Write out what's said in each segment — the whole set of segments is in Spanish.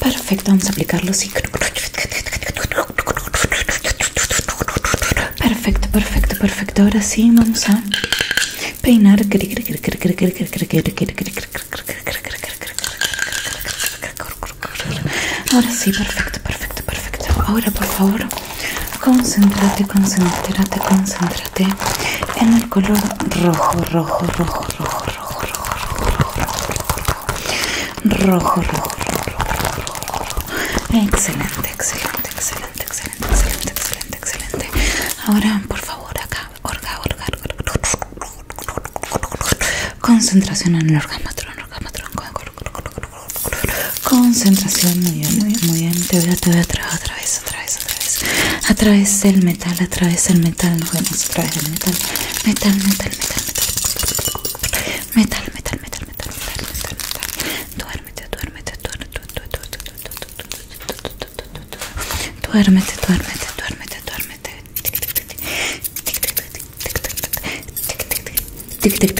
perfeito vamos aplicar aplicarlo así. Assim. perfeito perfecto, perfecto. Ahora sí, vamos a peinar. agora sim perfeito perfeito perfeito agora por favor, concéntrate, concéntrate, concéntrate. en el color rojo, rojo, rojo, rojo, rojo, rojo, rojo, rojo, rojo, rojo, rojo, rojo, excelente, excelente, excelente, excelente, excelente, excelente, excelente. Ahora, por favor, acá, orga, orga, concentración en el rojo, rojo, concentración, muy bien, muy bien, muy bien. Te te otra vez. Atraes, A través del metal, a través del metal. Nos metal metal. Metal, metal, metal, metal. Metal, metal, metal, metal, metal, metal, Duérmete, duérmete, duérmete, duérmete, duérmete, duérmete, duérmete. tick tick,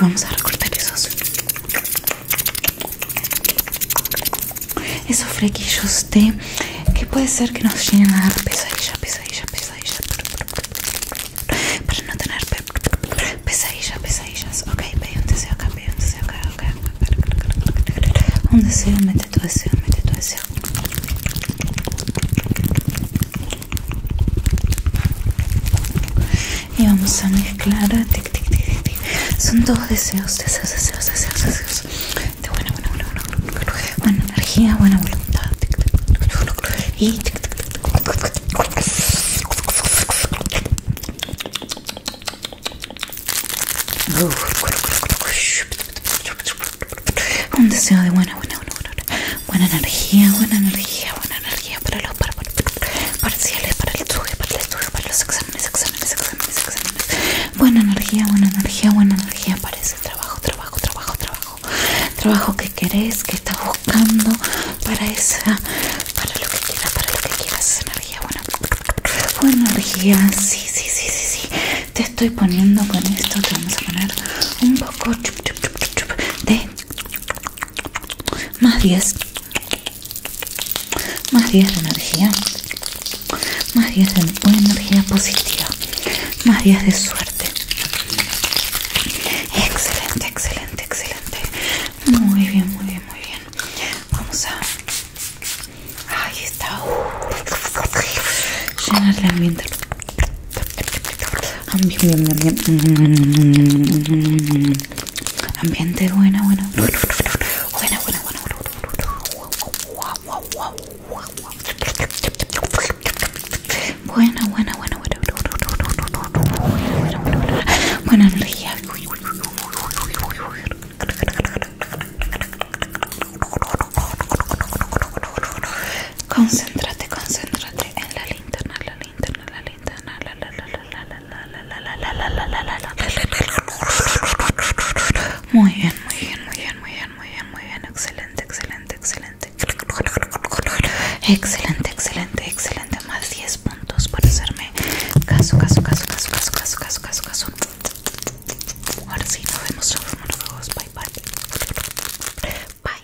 Vamos a recortar esos esos flequillos de que puede ser que nos lleguen a dar pesadillas pesadillas, para no tener pesadillas, pesadillas. Ok, pedí un deseo acá, pedí un deseo acá, ok. Un deseo, mete tu deseo, mete tu deseo y vamos a mezclar son dos deseos deseos deseos deseos de buena buena buena buena, buena energía buena voluntad y un deseo de buena buena buena buena buena energía, buena energía, buena energía para los parciales, para el estudio, para los exámenes, exámenes, exámenes, exámenes. Buena energía, buena energía, buena energía para ese trabajo, trabajo, trabajo, trabajo. Trabajo que querés, que estás buscando para esa, para lo que quieras, para lo que quieras, energía buena. energía, sí, sí, sí, sí, sí. Te estoy poniendo con esto, te vamos a poner un de más 10 más 10 de energía más 10 de energía positiva más 10 de suerte excelente excelente excelente muy bien muy bien muy bien vamos a llenar el ambiente. Ambiente buena, buena. Buena, buena, buena. Buena, buena, buena, buena. Buena Concéntrate, concéntrate en la linterna, la linterna, la linterna, Muy bien, muy bien, muy bien, muy bien, muy bien, muy bien, excelente, excelente, excelente. Excelente, excelente, excelente. Más 10 puntos para hacerme caso, caso, caso, caso, caso, caso, caso, caso. Ahora sí, nos vemos todos. Bye bye. Bye.